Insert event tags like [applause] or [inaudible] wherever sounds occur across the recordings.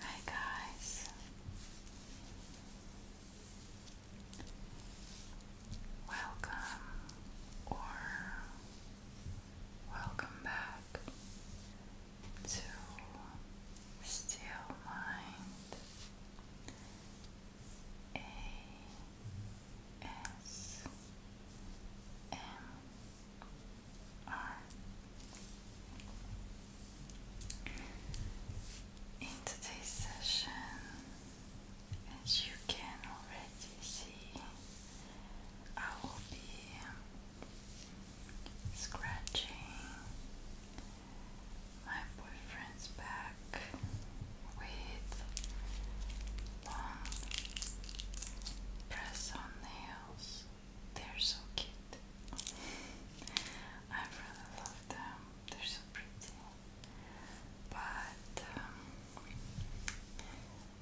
Hi guys. Welcome or welcome back to still mind A S M R in today's session as you can already see I will be scratching my boyfriend's back with long press on nails. They're so cute. I really love them. They're so pretty. But um,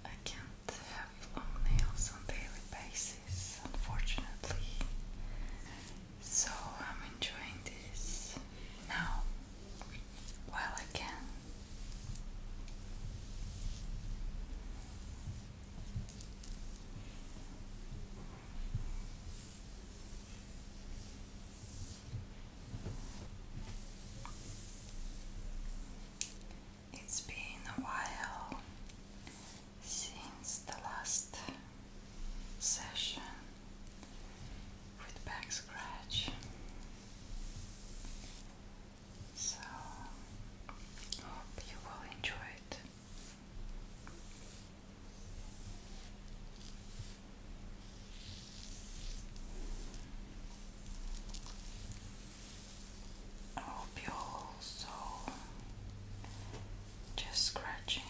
I can't have uh, long nails on daily basis, unfortunately. So I'm enjoying this now while I can. It's been a while since the last session with back So, hope you will enjoy it. I hope you also just scratching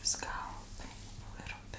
the scalp a little bit.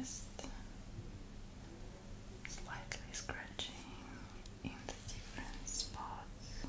Just slightly scratching in the different spots.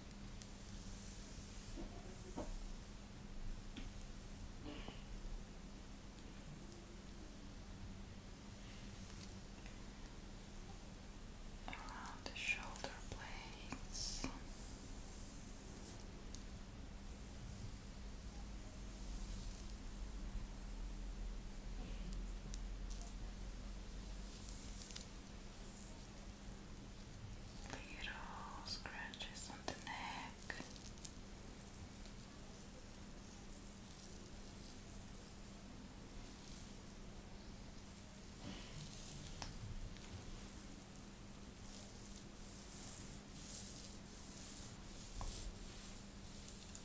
around the shoulder blades little scratches on the neck.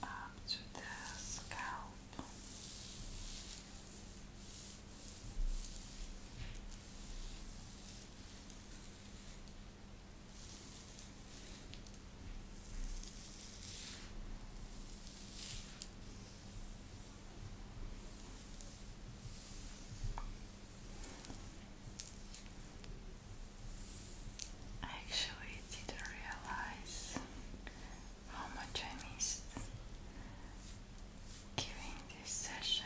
Up to the scalp. I actually didn't realize how much I missed giving this session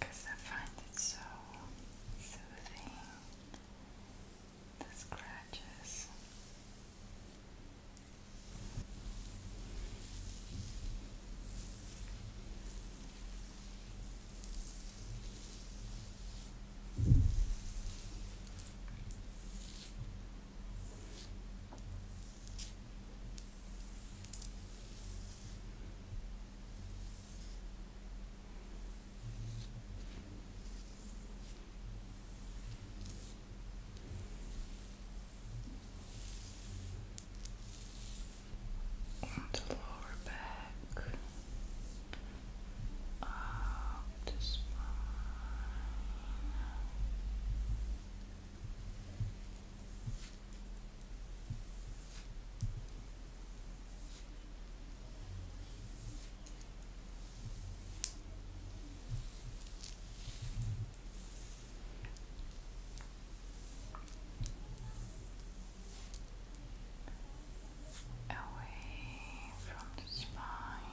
because I find it so soothing. The scratches on the lower back, up uh, the spine away from the spine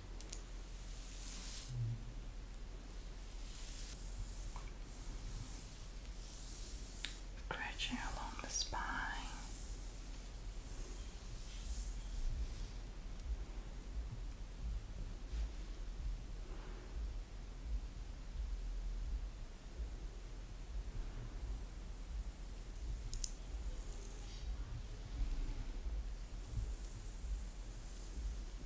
Scratching along the spine.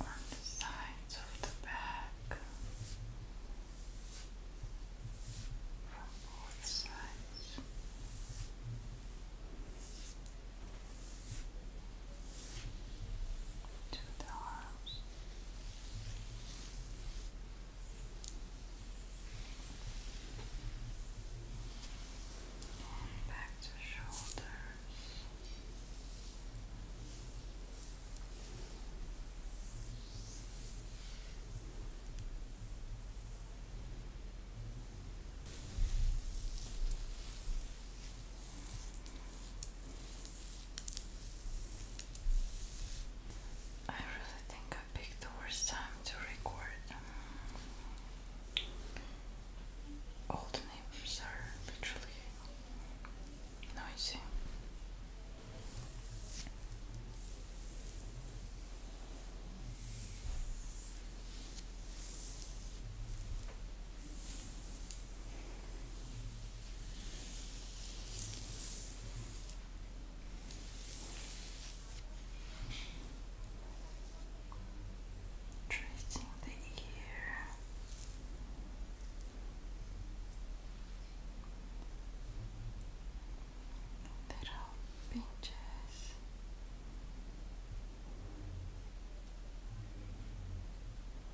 on the sides of the back from both sides. To the arms, Back to shoulders. I really think I picked the worst time to record. All um, the neighbors are literally noisy. Tracing the ear. Little pinches.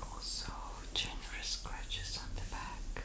Also, generous scratches on the back.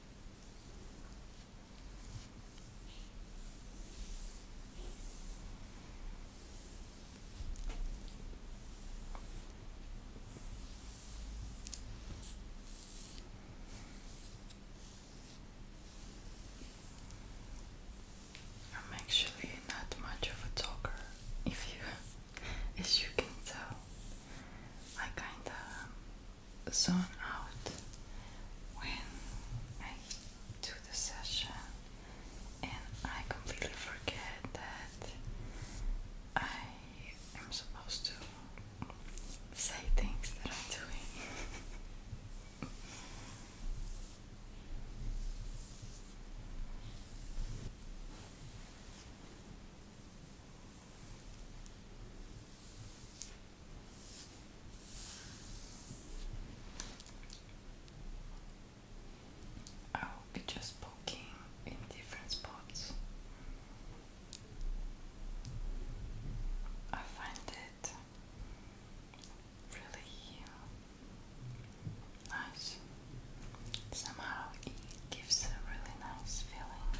I'm actually not much of a talker, if you, [laughs] as you can tell. I kinda zone out when I do the session and I completely forget that I am supposed to say things that I'm doing. I will be just poking in different spots. I find it really uh, nice. Somehow it gives a really nice feeling.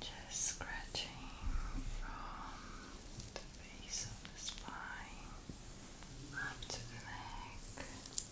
Just scratching from the base of the spine up to the neck.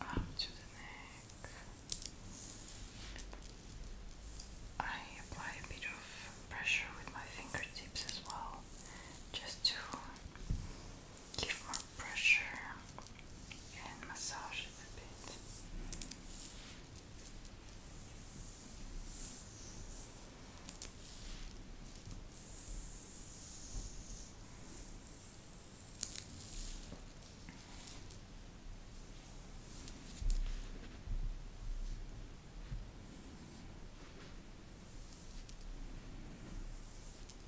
Up to the neck. I apply a bit of pressure with my fingertips as well, just to give more pressure and massage it a bit.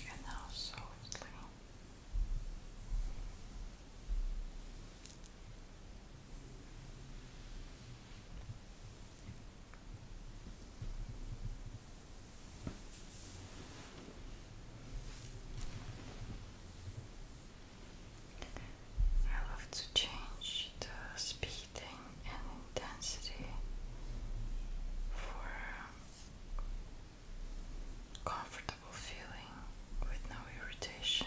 and now I love to change the speeding and intensity for comfortable feeling with no irritation.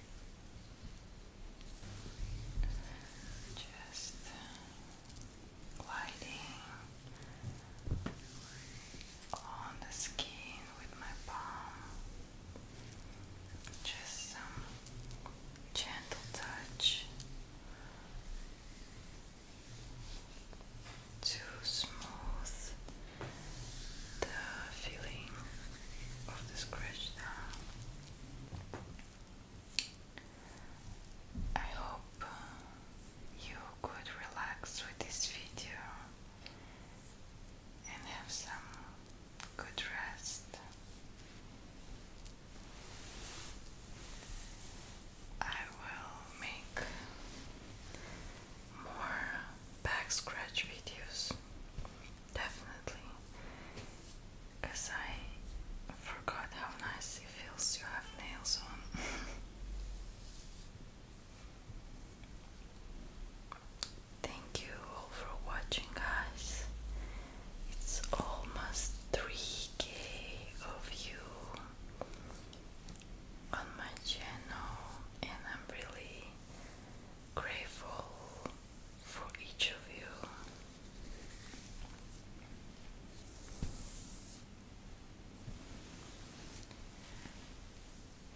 Just gliding on the skin with my palm. Just some gentle touch to smooth the feeling of the scratch I hope you could relax with this video and have some good rest. I will make more back scratch videos definitely because I forgot how nice it feels to have nails on. [laughs] Thank you all for watching, guys. It's almost 3k of you on my channel, and I'm really grateful for each of you.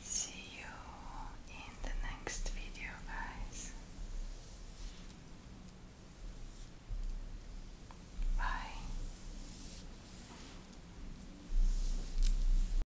See you in the next video, guys. Bye.